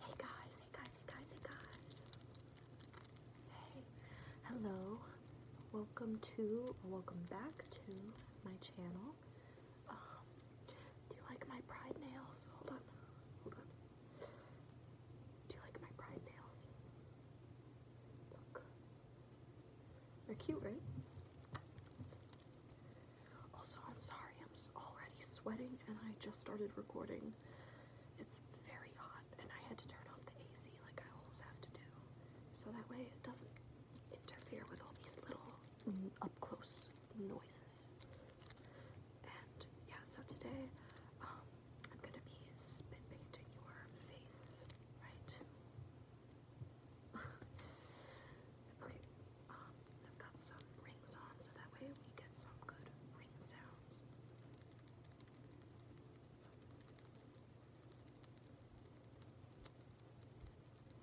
Hey guys, hey guys, hey guys, hey guys. Hey, hello. Welcome to, welcome back to my channel. Um, do you like my pride nails? Hold on, hold on. Do you like my pride nails? Look. They're cute, right? Also, I'm sorry, I'm already sweating and I just started recording. It's very hot and I had to turn off the AC like I always have to do. So that way it doesn't interfere with all these little mm, up close noises. And yeah, so today um, I'm gonna be spit painting your face, right? okay, um, I've got some rings on so that way we get some good ring sounds.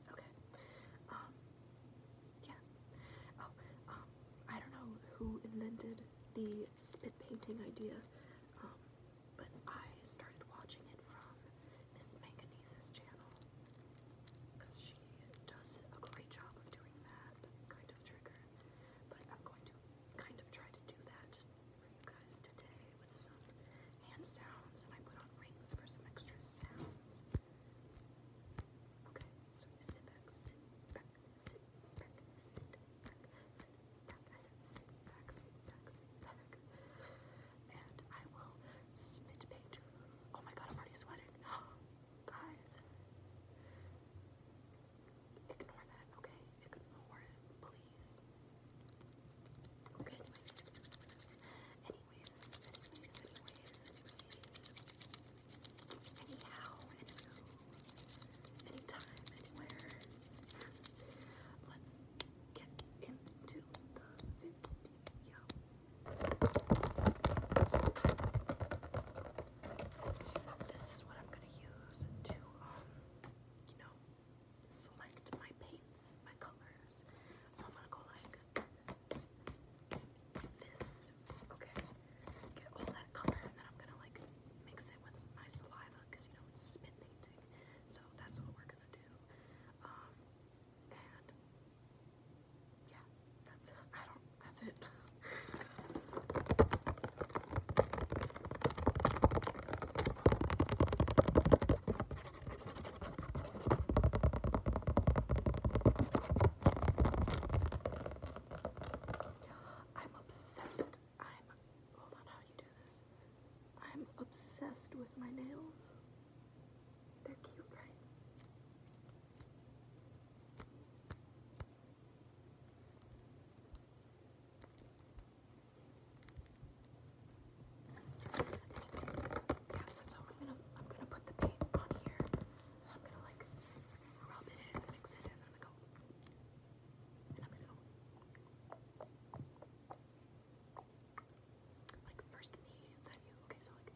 Okay. Um, yeah. Oh, um, I don't know who invented the spit painting idea, um, but I started watching it from Miss Manganese's channel because she does a great job of doing that kind of trigger. But I'm going to kind of try to do that for you guys today with some hand sounds, and I put on rings for some extra sounds. Okay, so you sit back, sit back, sit back, sit back, sit back. I said sit back, sit back, sit back. And I will spit paint. Oh my god, I'm already sweating. Oh, guys, ignore that, okay? Ignore it, please. Okay, anyways. Anyways, anyways, anyways, Anyhow, anytime, anywhere. Let's get into the video. This is what I'm going to use to, um, you know, select my paints, my colors. So I'm going to go like this. Okay. Get all that color and then I'm going to like mix it with my saliva you know, it's spit So that's what we're going to do. Um, yeah, that's it. that's it. I'm obsessed. I'm hold on how do you do this. I'm obsessed with my nails they so I'm gonna I'm gonna put the paint on here and I'm gonna like rub it in, mix it and I'm gonna go and I'm gonna go like first me, then you. Okay, so like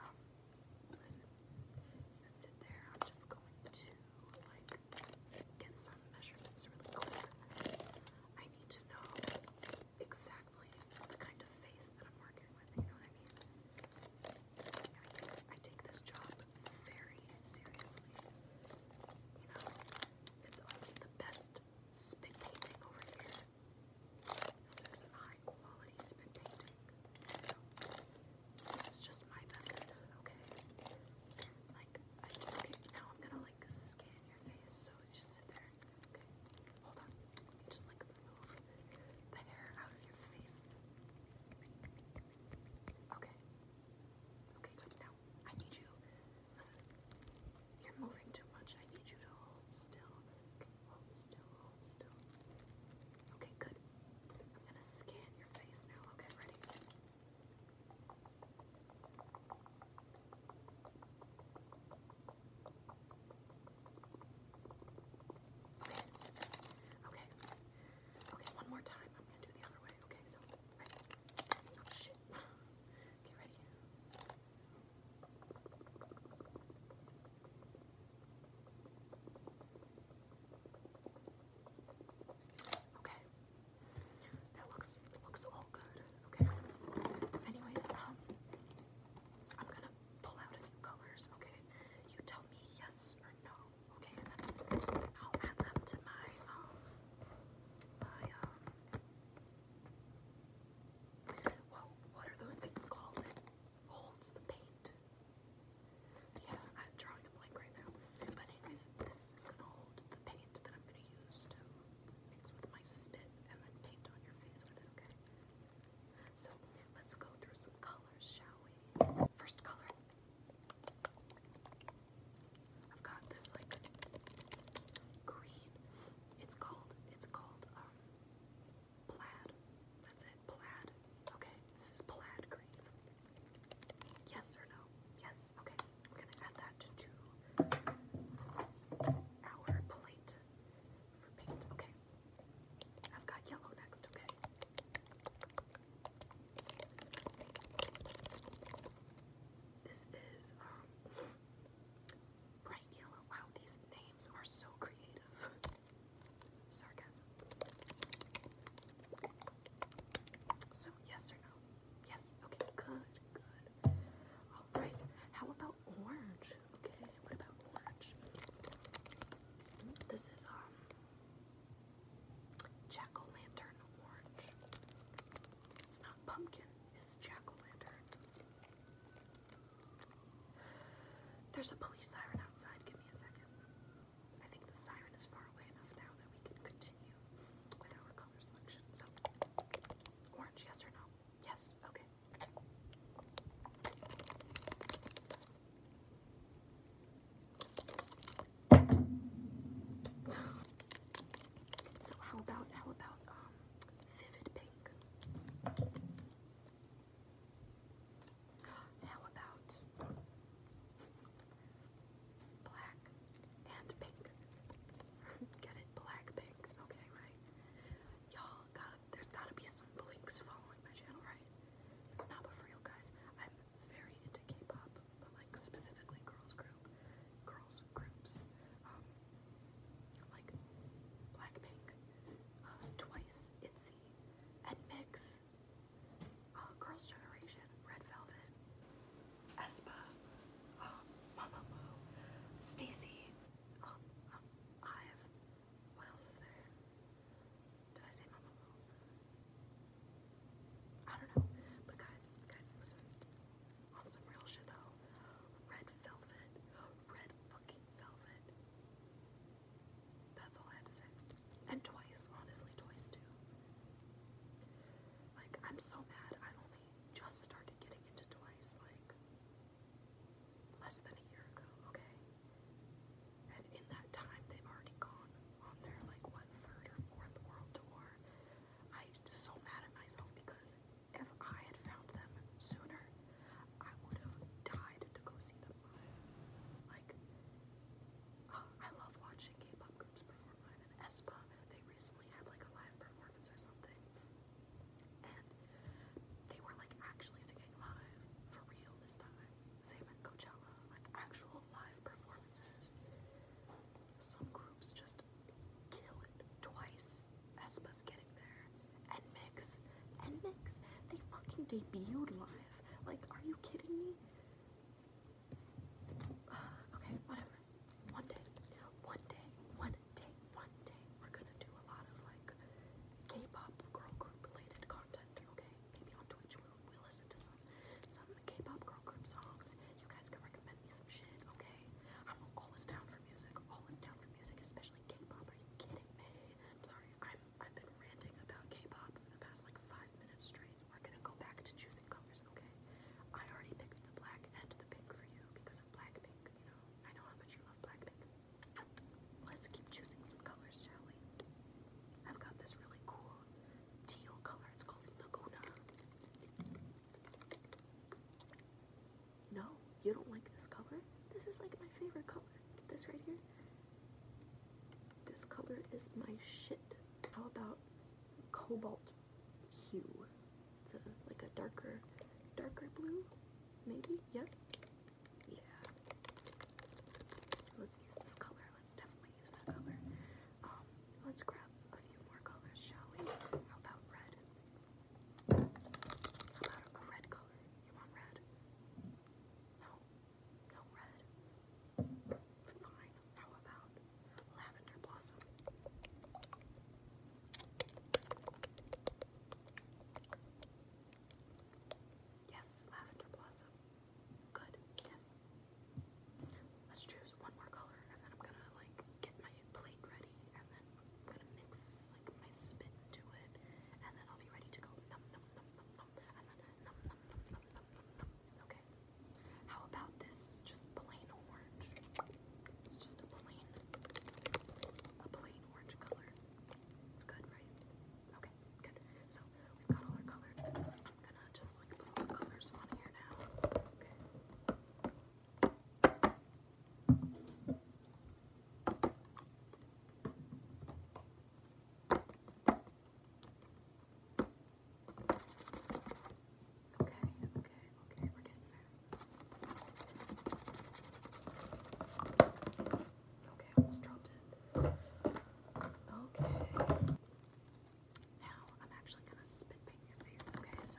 Um, listen, you sit there. I'm just going to, like, get some measurements really quick. I need to know exactly the kind of face that I'm working with, you know what I mean? I take this job very seriously. You know, it's only the best spit painting over here this is high quality spit painting. This is just my method, okay? Like, I okay, now I'm gonna like scan your face, so just sit there, okay? Hold on, let me just like remove the hair out of your face. Okay. Okay, good. Now, I need you, listen, you're moving too much. I need you to hold still. Okay, good. I'm gonna scan your face now. Okay, ready? Okay. Okay. one more time. I'm gonna do the other way. Okay, so ready? Oh, okay, ready? Okay. That looks looks all good. Okay. Anyways, um I'm gonna pull out a few colors, okay? You tell me yes or no, okay? I'll add them to my um my um Whoa, what are those things called? holds the paint. Yeah, I'm drawing a blank right now. But anyways, this is gonna hold the paint that I'm gonna use to mix with my spit and then paint on your face with it, okay? So let's go through some colors, shall we? First color. I've got this like green. It's called it's called um, Plaid. That's it. Plaid. Okay. This is plaid green. Yes or no? Yes. Okay. We're gonna add that to our plate for paint. Okay. I've got yellow next. Okay. This is um bright yellow. Wow, these names are so creative. Sarcasm. So, yes or no? Yes. Okay, good, good. Alright, how about orange? Okay, what about orange? This is, um, jack o' lantern orange. It's not pumpkin, it's jack o' lantern. There's a police siren outside. Give me a second. I think the siren is far away enough now that we can continue with our color selection. So, orange, yes or no? Yes, okay. So how about how about um vivid pink? How about black and pink? Get it? Black, pink. Okay, right. Y'all, there's gotta be some blinks following my channel, right? Not for real, guys. I'm very into K-pop, but like specifically girls group, girls groups. Um, like Blackpink, uh, Twice, ITZY, and Mix. Oh, Girls' Generation, Red Velvet, Espa, Mama um, Lou, Stacy, um, um, Ive. What else is there? Did I say Mama Lou? I don't But guys, guys, listen. On some real shit though, Red Velvet, Red fucking Velvet. That's all I had to say. And twice, honestly, twice too. Like, I'm so mad I only just started getting into twice, like, less than a year ago, okay? And in that time, they've already gone on their, like, what, third or fourth world tour. I'm so mad at myself because if I had found them sooner, I would have died to go see them live. Like, uh, I love watching K-pop groups perform live, and aespa, they recently had like a live performance or something, and they were like actually singing live, for real this time. Same at Coachella, like actual live performances. Some groups just kill it twice. Espa's getting there. And Mix, and Mix, they fucking debuted live. Like, are you kidding me? okay, whatever. One day, one day, one day, one day, we're gonna do a lot of like K-pop girl group related content. Okay, maybe on Twitch we listen to some some K-pop girl group songs. You guys can recommend me some shit. Okay, I'm always down for music. Always down for music, especially K-pop. Are you kidding me? I'm sorry, I've been ranting about K-pop for the past like five minutes straight. We're gonna go back to choosing colors, okay? I already picked the black and the pink for you because of Blackpink, you know. I know how much you love Blackpink. Let's keep choosing some colors, shall we? I've got this really cool teal color. It's called Laguna. No, you don't like this color? This is like my favorite color. This right here? This color is my shit. How about cobalt hue? It's like a darker, darker blue, maybe? Yes? Yeah. Let's use this color. Let's definitely use that color. Um, let's grab a few more colors, shall we? How about red? How about a red color? You want red? No. No red. Fine. How about lavender blossom? Yes, lavender blossom. Good. Yes. Let's choose one more color and then I'm gonna like get my plate ready and then gonna mix like my spit into it and then I'll be ready to go num num num num num Okay. How about this? Just plain orange. It's just a plain, a plain orange color. It's good, right? Okay, good. So we've got all our colors. I'm gonna just like put the colors on here now. Okay. Okay, okay, okay, we're getting there. Okay, almost dropped it. Okay. Now I'm actually gonna spit paint your face, okay? So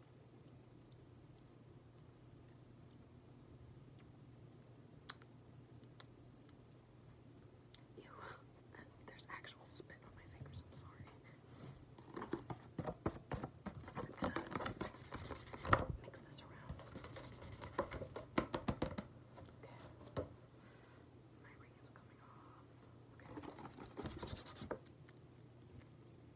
There's actual spit on my fingers, I'm sorry. mix this around. Okay. My ring is coming off. Okay.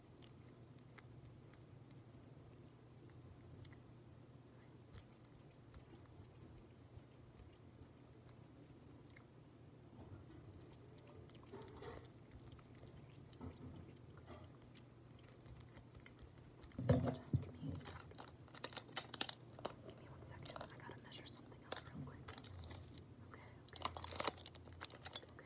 Just give me, just give me one second. I gotta measure something else real quick. Okay, okay. Okay.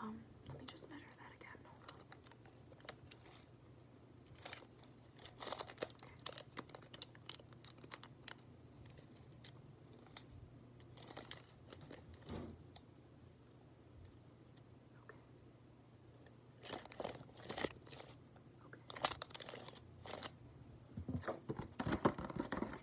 Um, let me just measure that again. Okay. Okay.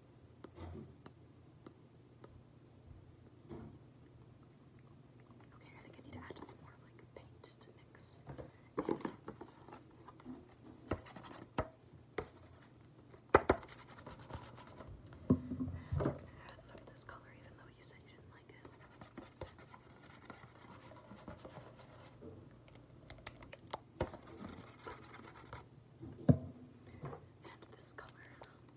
Okay, I think I need to add some more like paint to mix. And so. gonna add some of this color even though you said you didn't like it. And this color, um,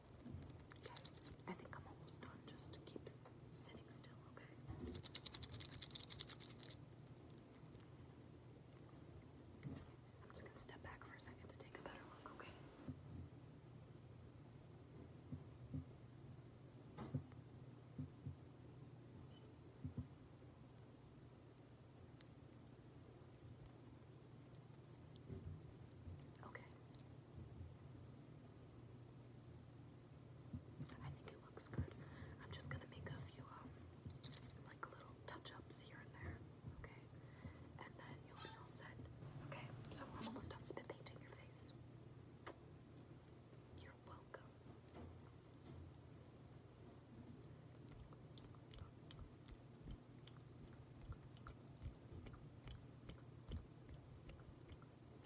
Guys, I think I'm almost done. Just keep sitting still, okay? I'm just gonna step back for a second to take a better look, okay? Okay. I think it looks good. I'm just gonna make a few um like little touch-ups here and there, okay? And then you'll be all set. Okay, so we're almost done spit painting your face. You're welcome.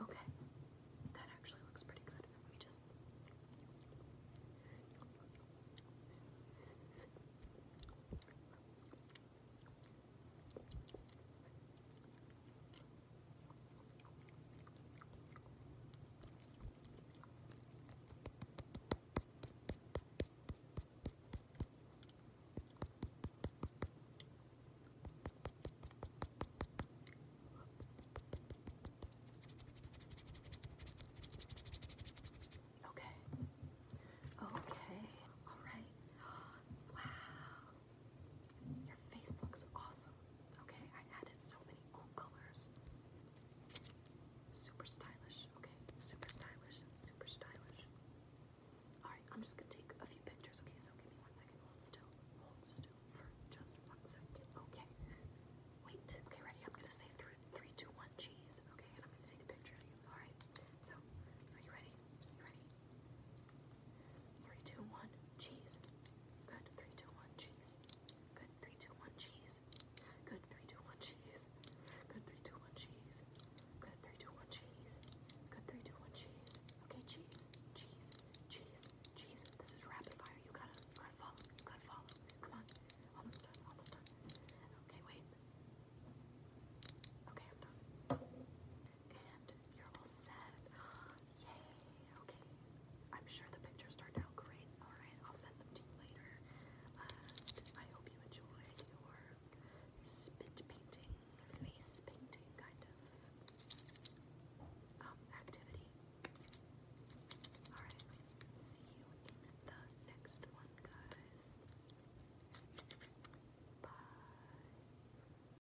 Okay, that actually looks pretty good. Let me just. Okay. Okay. All right. Wow. Your face looks awesome. Okay, I added so many cool colors. Super stylish. Okay, super stylish. Super stylish. Alright, I'm just gonna take a few pictures. Okay, so give me one second. Hold still. Hold still for just one second. Okay. Wait. Okay, ready? I'm gonna say three, three, two, one, cheese. Okay, and I'm gonna take a picture of you. Alright. So, are you ready? ready? Ready? Three, two, one, cheese. Good. Three, two, one, cheese. Good. Three, two, one, cheese. Good. Three, two, one, cheese. Good. Three, two, one, cheese. Good. Three, two, one, cheese. Good. Three, two, one, cheese. Okay, cheese, cheese, cheese, cheese. This is rapid fire. You gotta, you gotta follow. You gotta follow. Come on. Almost done. Almost done. Okay, wait. Okay, I'm done you're all set. Yay, okay. I'm sure the pictures turned out great. Alright, I'll send them to you later. I hope you enjoyed your spit painting, face painting kind of um, activity. Alright, see you in the next one, guys. Bye.